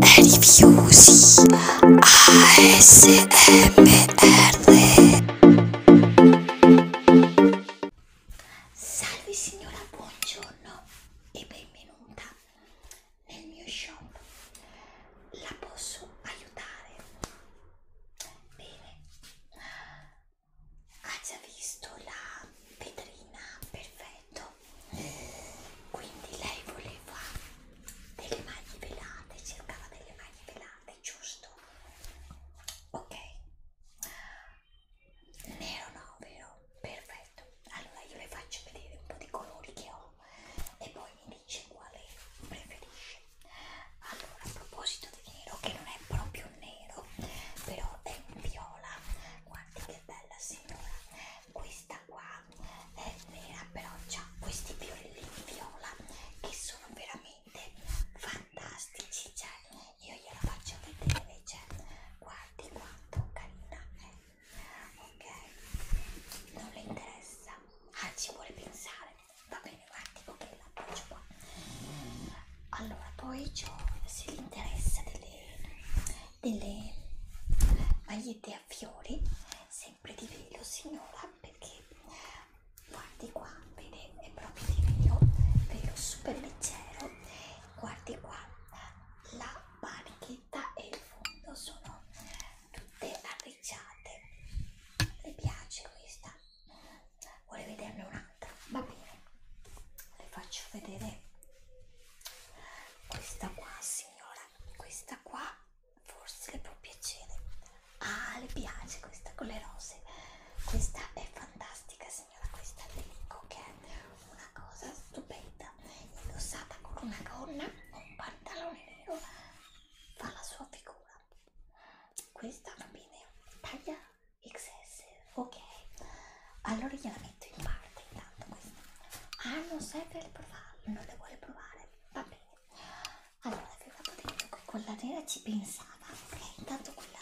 Rifiusi ASMR Salve signora, buongiorno e benvenuta nel mio shop. La posso aiutare? Bene. Ha già visto la vetrina? Perfetto eh, quindi lei voleva delle maglie velate, cercava delle maglie velate, giusto? Ok, nero no, vero? Perfetto, allora io le faccio vedere un po' di colori che ho e poi mi dice quale preferisce. Allora, a proposito di nero, che non è proprio nero, però è un viola, guardi che bella signora, questa qua è vera eh, però c'ha questi fiorellini viola che sono veramente fantastici cioè io glielo faccio vedere cioè guardi quanto carina è ok non le interessa ah ci vuole pensare va bene guardi ok la faccio qua allora poi c'ho se gli interessa delle delle magliette a fiori sempre di velo signora perché guardi qua vede è proprio di velo velo super leggero guardi qua la manichetta e il fondo sono tutte arricciate le piace questa vuole vederne un'altra va bene le faccio vedere questa qua signora, questa qua forse le può piacere. Ah, le piace questa con le rose. Questa è fantastica, signora. Questa le dico che è una cosa stupenda. Indossata con una gonna, un pantalone nero, fa la sua figura. Questa va bene, taglia XS, ok allora gliela metto in parte intanto questa ah non serve per provarlo non le vuole provare va bene allora avevamo detto che quella nera ci pensava ok intanto quella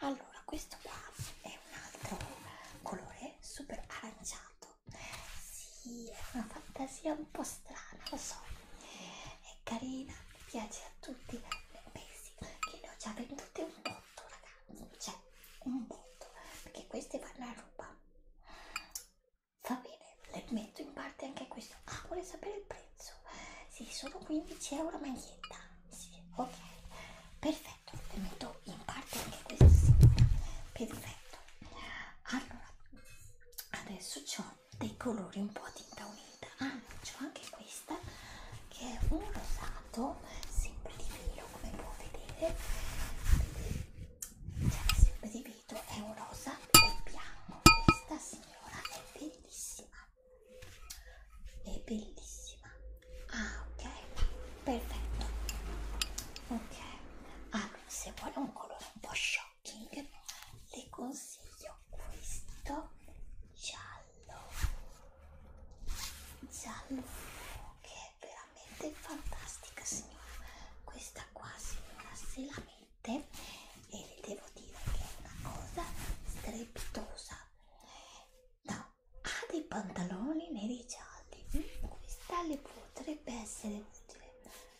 allora questo qua è un altro colore super aranciato sì è una fantasia un po' strana lo so è carina piace a tutti pensi che ne ho già vendute un botto ragazzi cioè un botto perché queste vanno a ruba va bene, le metto in parte anche questo. Ah, vuole sapere il prezzo? Sì, sono 15 euro maglietta. Sì, ok, perfetto, le metto in parte anche questo, signora. Perfetto. Allora, adesso ho dei colori un po' a tinta unita. Ah, c'ho anche questa che è un rosato, sempre di filo come può vedere ripeto è un rosa e bianco questa signora è bellissima è bellissima ah ok perfetto ok allora se vuole un colore un po' shocking le consiglio questo giallo giallo ok è veramente fantastica signora questa qua signora se la mette e le devo dire che è una cosa strepitosa no, ha dei pantaloni neri gialli mm, questa le potrebbe essere utile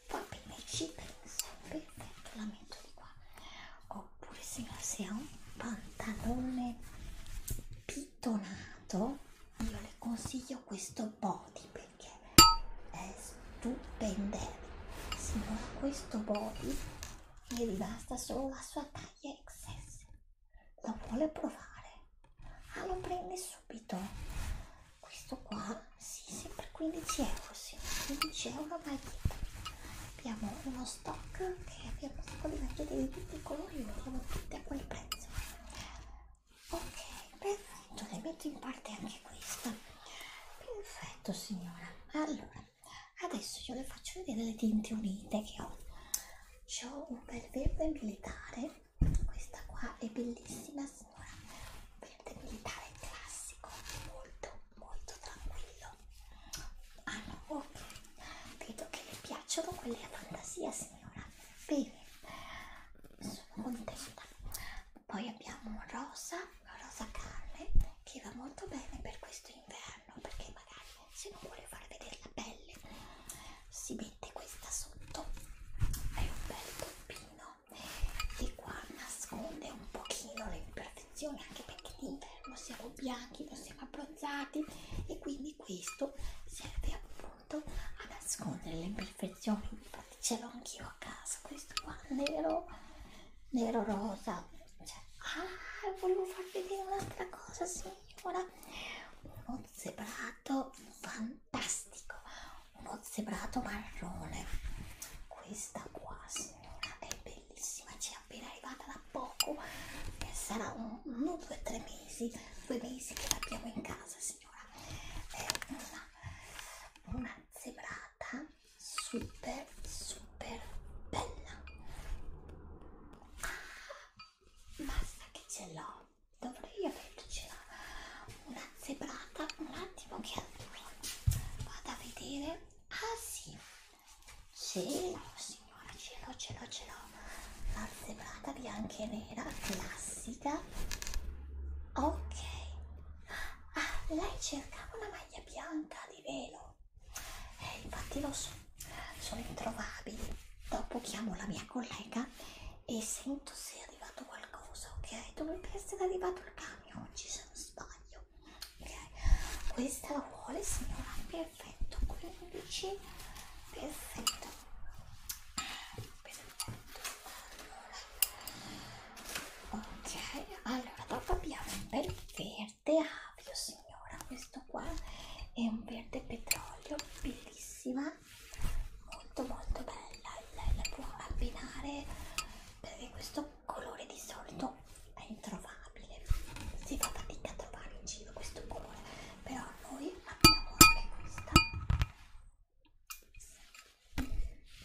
poi bene ci penso perfetto la metto di qua oppure signora se ha un pantalone più pittonato io le consiglio questo body perché è stupendo signora questo body mi è rimasta solo la sua taglia XS lo vuole provare? ah lo prende subito questo qua si sì, sempre 15 euro sì, 15 euro maglietta abbiamo uno stock che abbiamo un po' di magliette di tutti i colori lo abbiamo tutte a quel prezzo ok perfetto le metto in parte anche questa perfetto signora allora adesso io le faccio vedere le tinte unite che ho C ho un bel verde militare questa qua è bellissima signora un verde militare classico molto molto tranquillo ah no ok vedo che le piacciono quelle a fantasia signora bene sono contenta poi abbiamo rosa la rosa carne che va molto bene per questo inverno perché magari se non vuole far vedere la pelle si mette questa sotto è un bel toppino che qua nasconde un pochino le imperfezioni anche perché d'inverno siamo bianchi non siamo abbronzati e quindi questo serve appunto pronto a nascondere le imperfezioni infatti ce l'ho anch'io a casa questo qua nero nero rosa cioè, ah volevo farvi vedere un'altra cosa signora uno zebrato fantastico uno zebrato marrone questa qua signora è bellissima ci è appena arrivata da poco sarà uno due tre mesi due mesi che l'abbiamo in casa signora è eh, una, una zebrata super super bella ah, basta che ce l'ho dovrei avercela una zebrata un attimo che allora vado a vedere ah sì ce l'ho signora ce l'ho ce l'ho ce l'ho azzebrata bianca e nera classica ok ah, lei cercava una maglia bianca di velo eh, infatti lo so sono introvabili dopo chiamo la mia collega e sento se è arrivato qualcosa ok dovrebbe essere arrivato il camion oggi se non sbaglio ok questa la vuole signora perfetto 15 perfetto per ok allora dopo abbiamo un bel verde avio signora questo qua è un verde petrolio bellissima molto molto bella lei la può abbinare perché questo colore di solito è introvabile si fa fatica a trovare in giro questo colore però noi abbiamo anche questa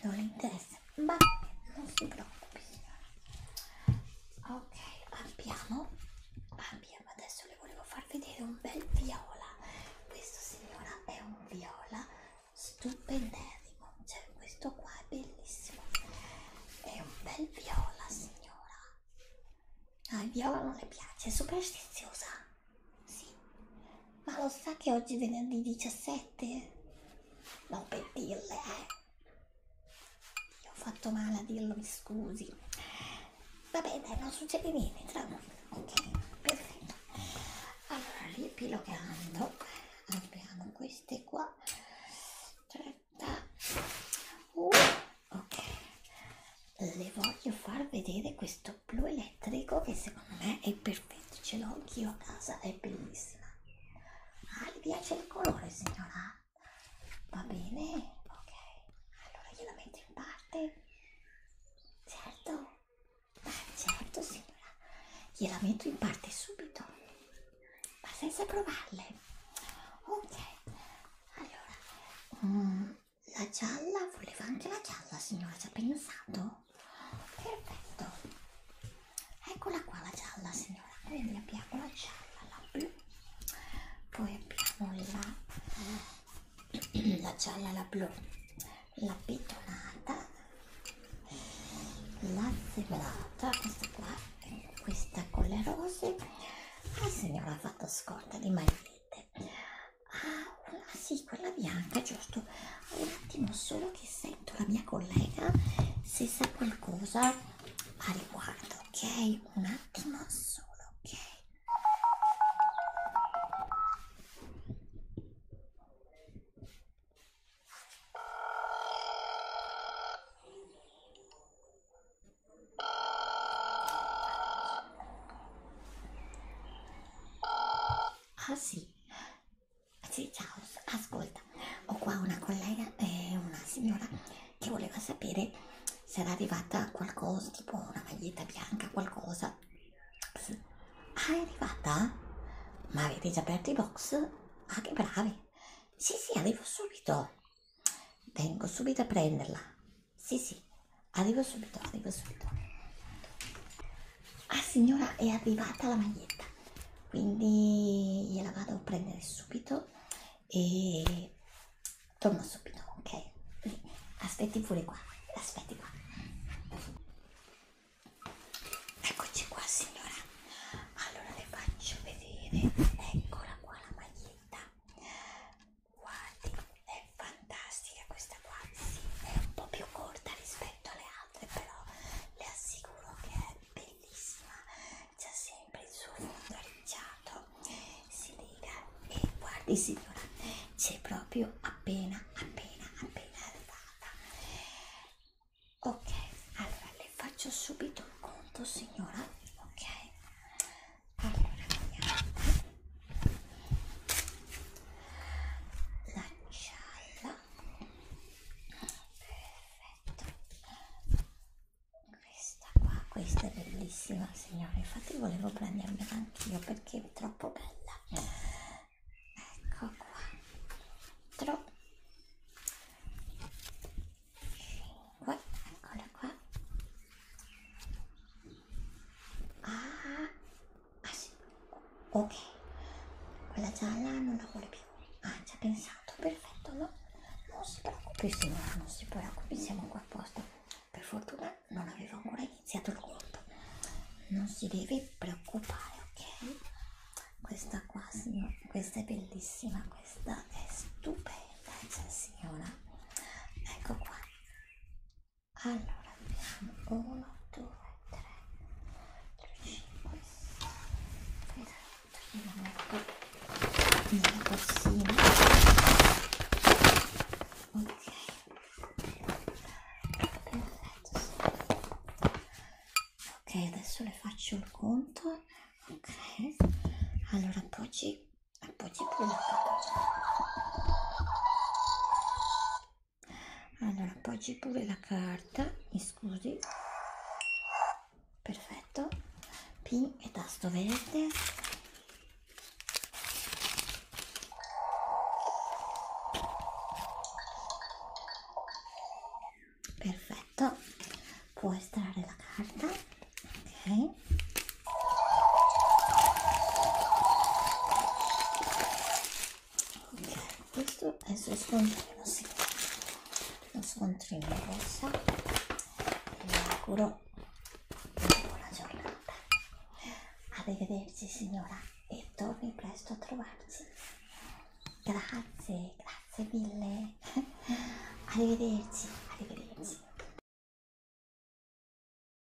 non le interessa ma non si preoccupi signora ok abbiamo abbiamo adesso le volevo far vedere un bel viola questo signora è un viola stupendissimo cioè questo qua è bellissimo è un bel viola signora Ah, il viola non le piace, è superstiziosa. Sì, ma lo sa che oggi è venerdì 17? No, per dirle, eh. Io ho fatto male a dirlo, mi scusi. Vabbè, dai, non succede niente, tranquillo. Ok, perfetto. Allora, riepilogando, abbiamo queste qua. 31. Uh, ok le voglio far vedere questo blu elettrico che secondo me è perfetto ce l'ho anch'io a casa è bellissima ah le piace il colore signora va bene ok allora gliela metto in parte certo ah, certo signora gliela metto in parte subito ma senza provarle ok allora mm, la gialla, voleva anche la gialla signora, ci ha pensato? Perfetto, eccola qua la gialla signora, quindi abbiamo la gialla, la blu, poi abbiamo la, la gialla, la blu, la pitonata, la zebrata, questa qua, questa con le rose, la ah, signora ha fatto scorta di magliette Ah, sì, quella bianca, giusto. Un attimo solo che sento la mia collega se sa qualcosa a riguardo, ok? Un attimo solo, ok? Ah sì, sì ciao, ascolta, ho qua una collega, eh, una signora che voleva sapere se era arrivata qualcosa, tipo una maglietta bianca, qualcosa. Sì. Ah, è arrivata? Ma avete già aperto i box? Ah, che bravi! Sì, sì, arrivo subito. Vengo subito a prenderla. Sì, sì, arrivo subito, arrivo subito. Ah signora, è arrivata la maglietta, quindi gliela vado a prendere subito e torno subito, ok? Aspetti pure qua, aspetti qua. Eccoci qua signora, allora le faccio vedere, eccola qua la maglietta, Guardi, è fantastica questa qua, sì, è un po' più corta rispetto alle altre, però le assicuro che è bellissima, c'è sempre il suo fondo arricciato, si lega e guardi signora, c'è proprio appena, appena, appena arrivata. Ok, allora le faccio subito il conto signora, ok? allora vediamo la gialla perfetto questa qua questa è bellissima signore infatti volevo prendermela anch'io perché è troppo bella ecco qua 4 5 eccola qua Ah, ah sì, ok, quella gialla non la vuole più. Ah, ci ha pensato, perfetto, no? Non si preoccupi signora, non si preoccupi, siamo qua apposta. Per fortuna non avevo ancora iniziato il conto. Non si deve preoccupare, ok? Questa qua, signora, questa è bellissima, questa è stupenda, cioè signora. Ecco qua allora vediamo 1 2 3 4 5 6 7 nella borsina ok perfetto ok adesso le faccio il conto ok allora appoggi e poi c'è più allora poi c'è pure la carta mi scusi perfetto P e tasto verde perfetto può estrarre la carta ok ok questo è il suo scontrino sì. lo scontrino rossa e vi auguro una buona giornata arrivederci signora e torni presto a trovarci grazie grazie mille arrivederci arrivederci